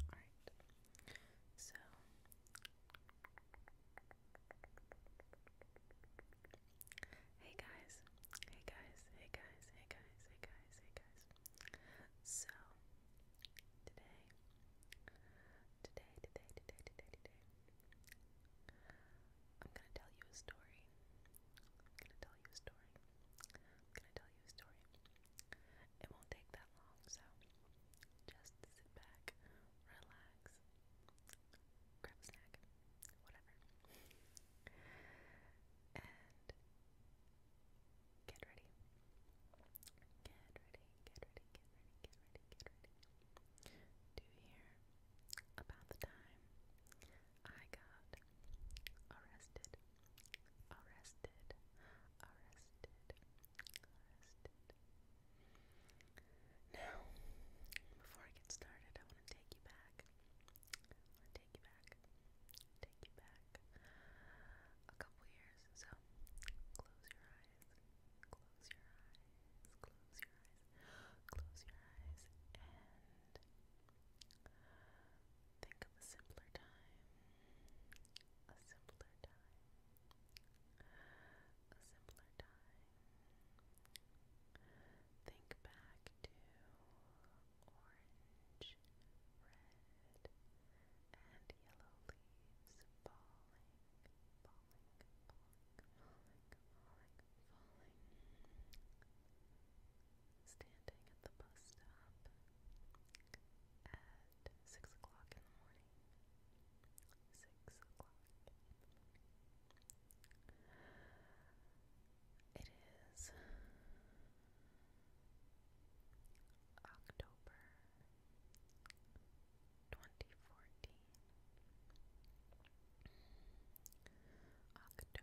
Alright, so hey guys, hey guys, hey guys, hey guys, hey guys, hey guys. So today, today, today, today, today, today, I'm gonna tell you a story. I'm gonna tell you a story. I'm gonna tell you a story. It won't take that long, so just sit back, relax, grab a snack, whatever, and get ready. Get ready, get ready, get ready, get ready, get ready. Do you hear about the time I got arrested? arrested, arrested, arrested. Now, before I get started, I want to take you back. I want to take you back, take you back a couple years. So, close your eyes, close your eyes, close your eyes, close your eyes, and Think of a simpler time. A simpler time. A simpler time. Think back to orange, red, and yellow leaves falling, falling, falling, falling, falling, falling standing at the bus stop at six o'clock in the morning. Six o'clock It is October 2014. October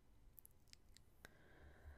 So it's been four years since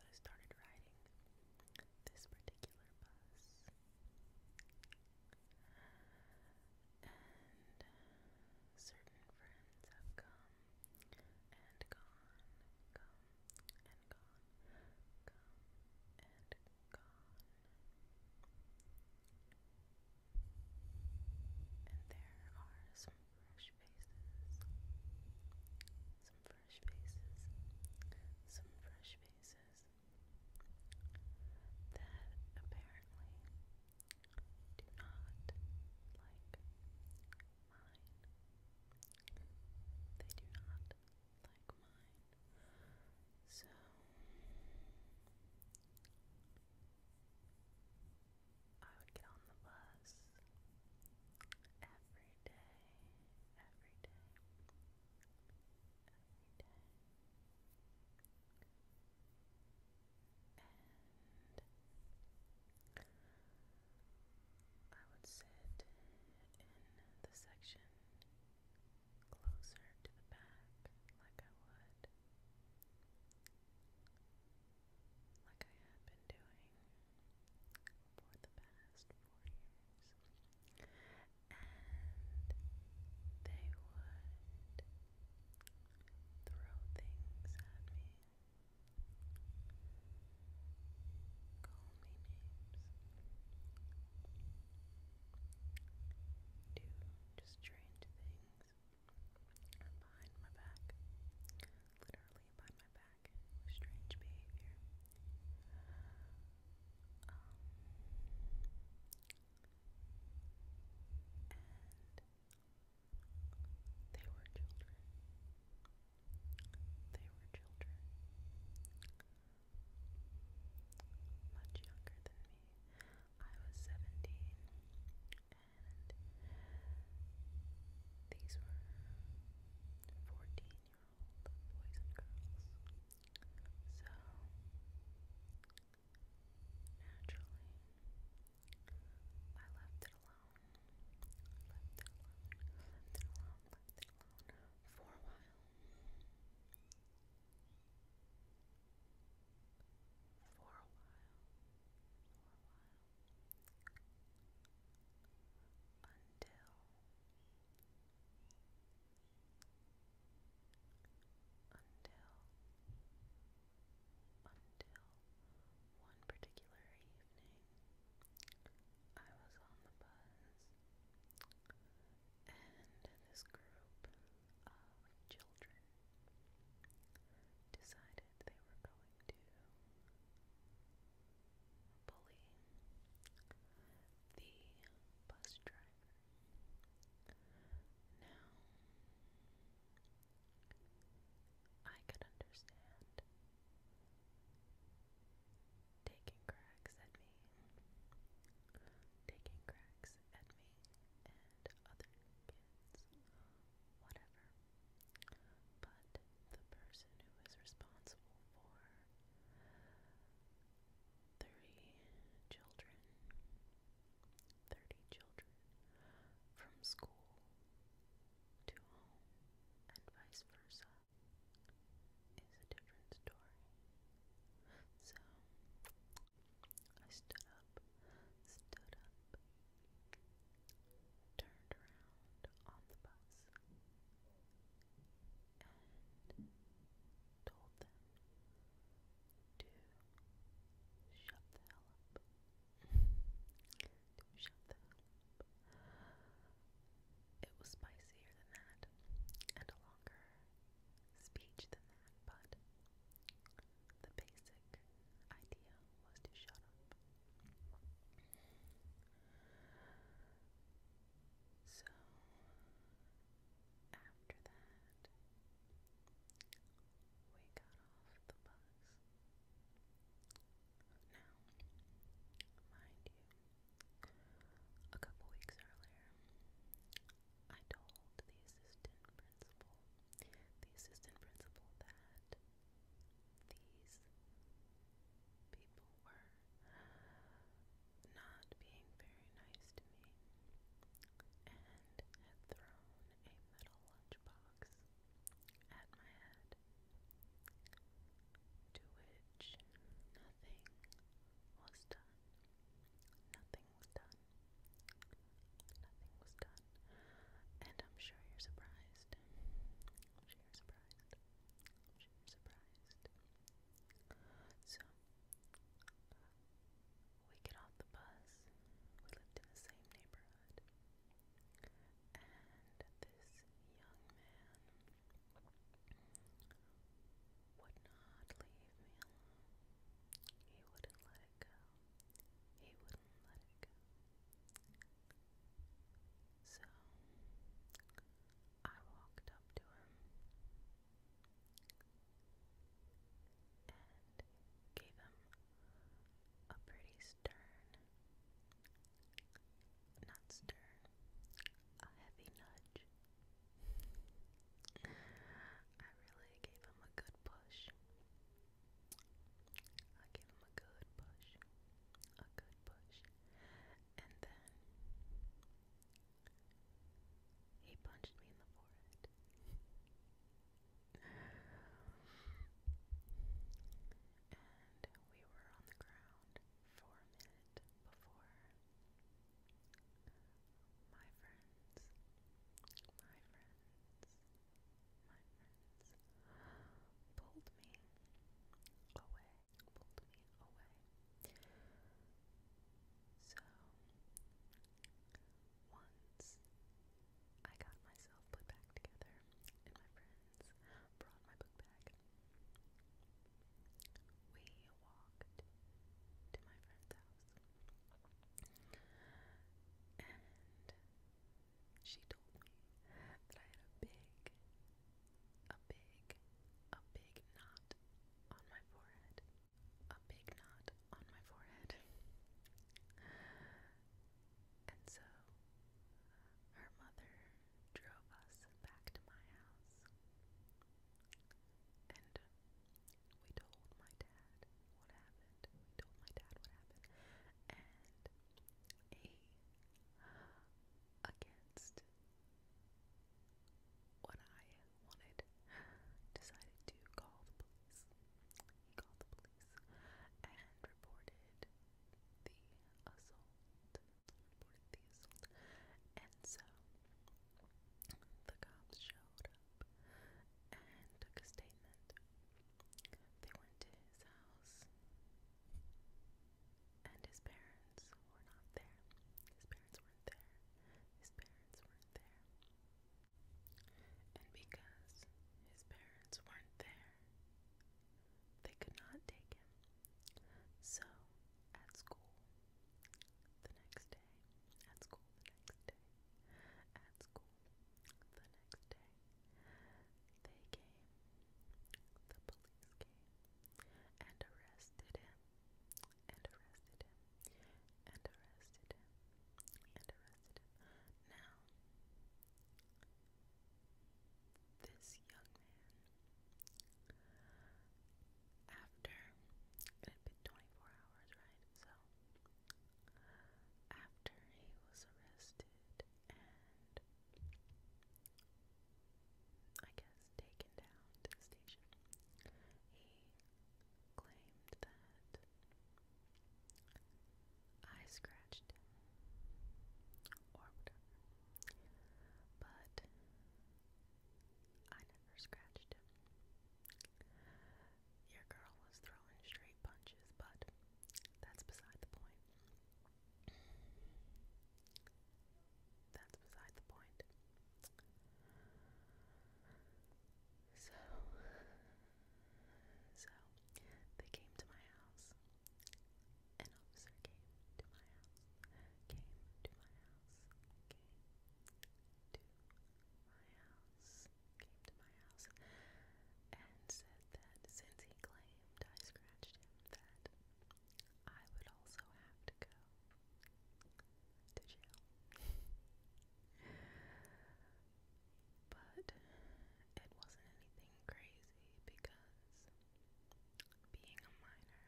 I started riding this particular bus, and certain friends have come and gone, come and there are some fresh faces, some fresh faces, some fresh faces that apparently do not like mine. They do not like mine. So I would get on the bus every day, every day, every day. I would sit in the section closer to the back, like I would, like I have been doing for the past four years, and they would throw things at me. Call me names. Do just strange things. Behind my back. Literally behind my back. Strange behavior. Um, and they were children. They were children, much younger than me. I was 17, and these were 14 year old boys and girls. So, naturally, I left it alone alone. Left For a while. For a while. Until until until one particular evening I was on the bus, and this group of children decided they were going to bully the bus driver. Now, I could understand taking cracks at me, taking cracks at me and other kids, whatever. But the person who is responsible for Thirty children, thirty children from school to home and vice versa is a different story. So I stood up, stood up, turned around on the bus, and told them to shut the hell up. to shut up. It was spicier than that, and a longer speech than that, but the basic idea was to shut up. So, after that, we got off the bus now, mind you, a couple weeks earlier, I told the assistant principal, the assistant principal that these people were not being very nice to me and had thrown a metal lunchbox at my head to which nothing was done. Nothing was done. Nothing was done. And I'm sure you're surprised. sure surprised. sure surprised. So, we get off the bus. We lived in the same neighborhood. And this young man would not leave me He wouldn't let it go. He wouldn't let it go. So I walked up to him and gave him a pretty stern not stern. A heavy nudge. I really gave him a good push. I gave him a good push. A good push. And then he punched me in the forehead. We were on the ground for a minute before. My friends, my friends, my friends pulled me away, pulled me away. So, once I got myself put back together my friends brought my book We walked to my friend's house, and she told me that I had a big, a big, a big knot on my forehead. A big knot on my forehead. And so her mother drove us back to my house. And we told my dad what happened. We told my dad what happened. And he, against what I wanted, decided to call the police. He called the police and reported the assault. Someone reported the assault. And so the cops showed up and took a statement. They went to his house and his parents were not there. His parents weren't there. His parents weren't there. And because his parents weren't there, they could not take him. So, at school, the next day, at school, the next day, at school, the next day, they came, the police came, and arrested him, and arrested him, and arrested him, and arrested him. Now, this young man after it had been 24 hours, right? So after he was arrested and I guess taken down to the station, he claimed that I scratched or whatever. But I never scratched Your girl was throwing straight punches, but that's beside the point. That's beside the point. So so they came to my house. An officer came to my house. Came to my house. Came to my house. Came to my house and said that since he claimed I scratched him, that I would also have to go to jail. But it wasn't anything crazy because being a minor,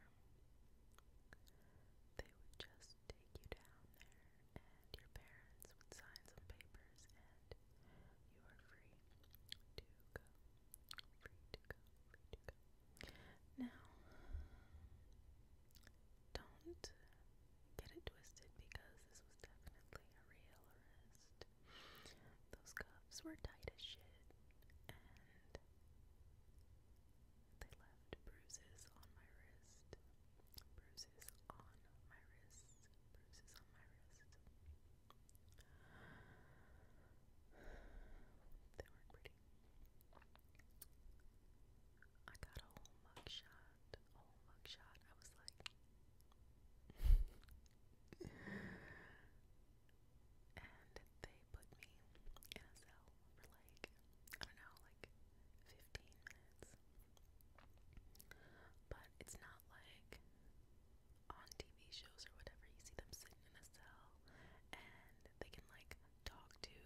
they would just take you down there and your parents would sign some papers and you are free to go. Free to go, free to go. Now, don't get it twisted because this was definitely a real arrest. Those cuffs were tight as shit, and they left bruises on my wrist. Bruises on my wrist. Bruises on my wrist. They weren't pretty. I got a whole mugshot. A whole mugshot. I was like, and they put me in a cell for like, I don't know, like 15 minutes. But it's not like on TV shows or whatever, you see them sitting in a cell and they can like talk to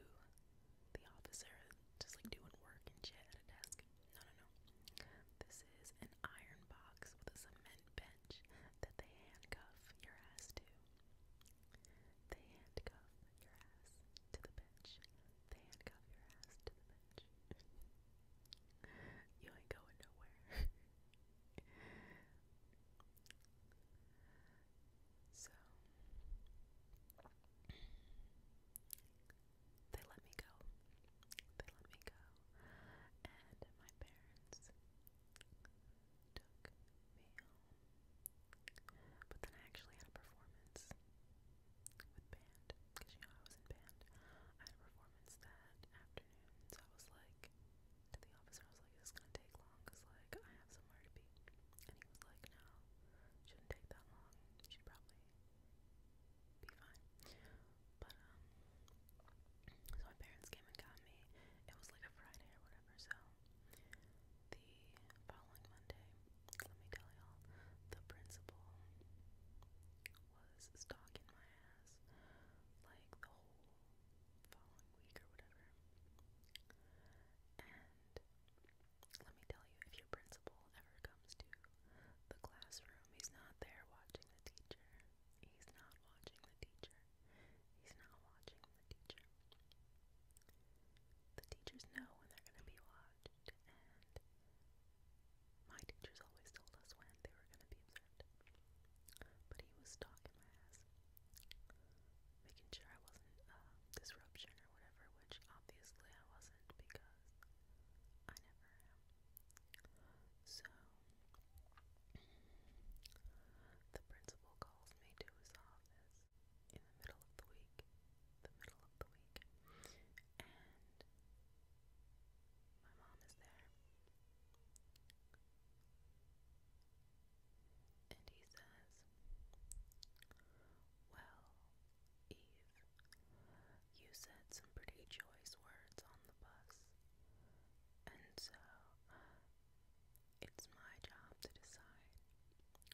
the officer, just like doing work and shit at a desk. No, no, no. This is an iron box with a cement bench that they handcuff your ass to. They handcuff your ass to the bench. They handcuff your ass to the bench. you ain't going nowhere. so they let me go. They let me go. And my parents took me home. But then I actually had a performance with band. Because you know I was in band. I had a performance that afternoon. So I was like to the officer, I was like, is gonna take long? like I have somewhere to be. And he was like, no, shouldn't take that long. should probably be fine. But um so my parents came and got me. It was like a Friday or whatever, so the following Monday, let me tell y'all, the principal was stalking my ass like the whole following week or whatever. And let me tell you, if your principal ever comes to the classroom. He's not there watching the teacher. He's not watching the teacher. He's not watching the teacher. The teachers know when they're going to be watched, and my teachers always told us when they were going to be observed. But he was stalking my ass, making sure I wasn't a uh, disruption or whatever, which obviously I wasn't because I never am. So, the principal calls me to his office in the middle of the week, the middle of the week, and my mom is there. And he says, Well, Eve, you said some pretty choice words on the bus. And so, it's my job to decide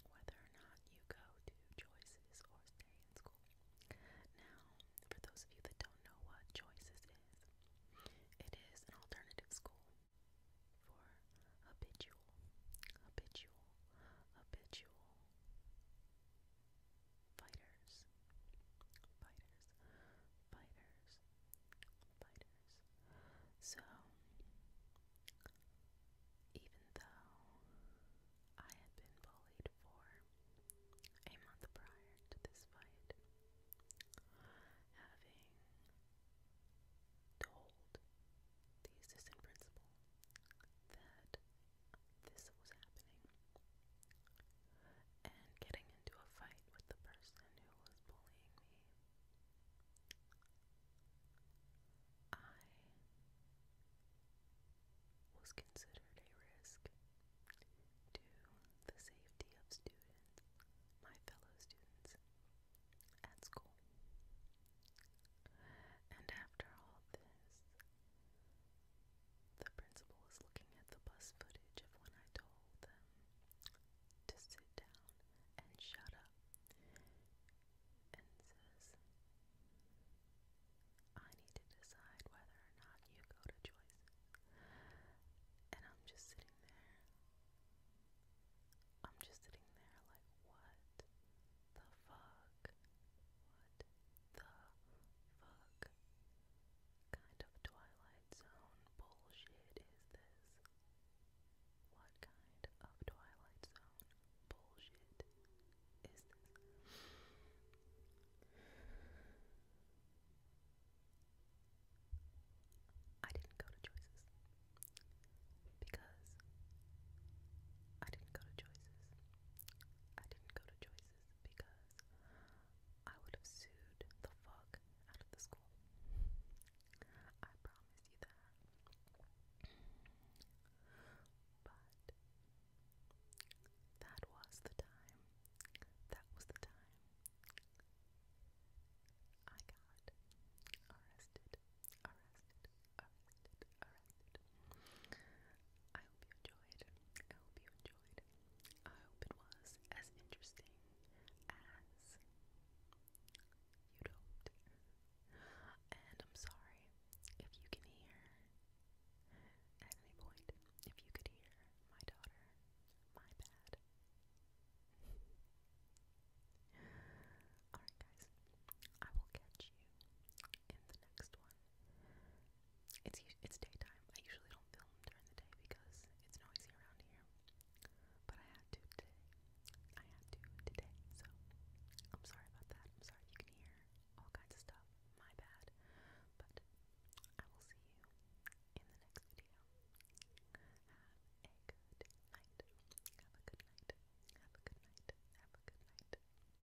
whether or not you go to choices or stay in school. Now, for those of you that don't know what choices is, it is an alternative school for habitual, habitual, habitual Fighters, fighters, fighters, fighters. So, even though I had been bullied for a month prior to this fight, having told the assistant principal that this was happening and getting into a fight with the person who was bullying me. I was considered a risk to the safety of students, my fellow students at school. And after all this, the principal was looking at the bus footage of when I told them to sit down and shut up and says, I need to decide whether or not you go to choice. And I'm just sitting there. I'm just sitting there like, what the fuck? What the fuck? Kind of Twilight Zone bullshit is this? What kind of Twilight Zone bullshit is this? I didn't go to choices because I didn't go to choices. I didn't go to choices because I would have sued the fuck out of the school. I promise you that. But that was the time. That was the time I got arrested, arrested arrested, I hope you enjoyed. I hope you enjoyed. I hope it was as interesting as you hoped. And I'm sorry if you can hear at any point, if you could hear my daughter, my bad. Alright, guys, I will catch you in the next one. It's it's daytime. I usually don't film during the day because it's noisy around here. But I had to today. I had to today. So I'm sorry about that. I'm sorry you can hear all kinds of stuff. My bad. But I will see you in the next video. Have a good night. Have a good night. Have a good night. Have a good night.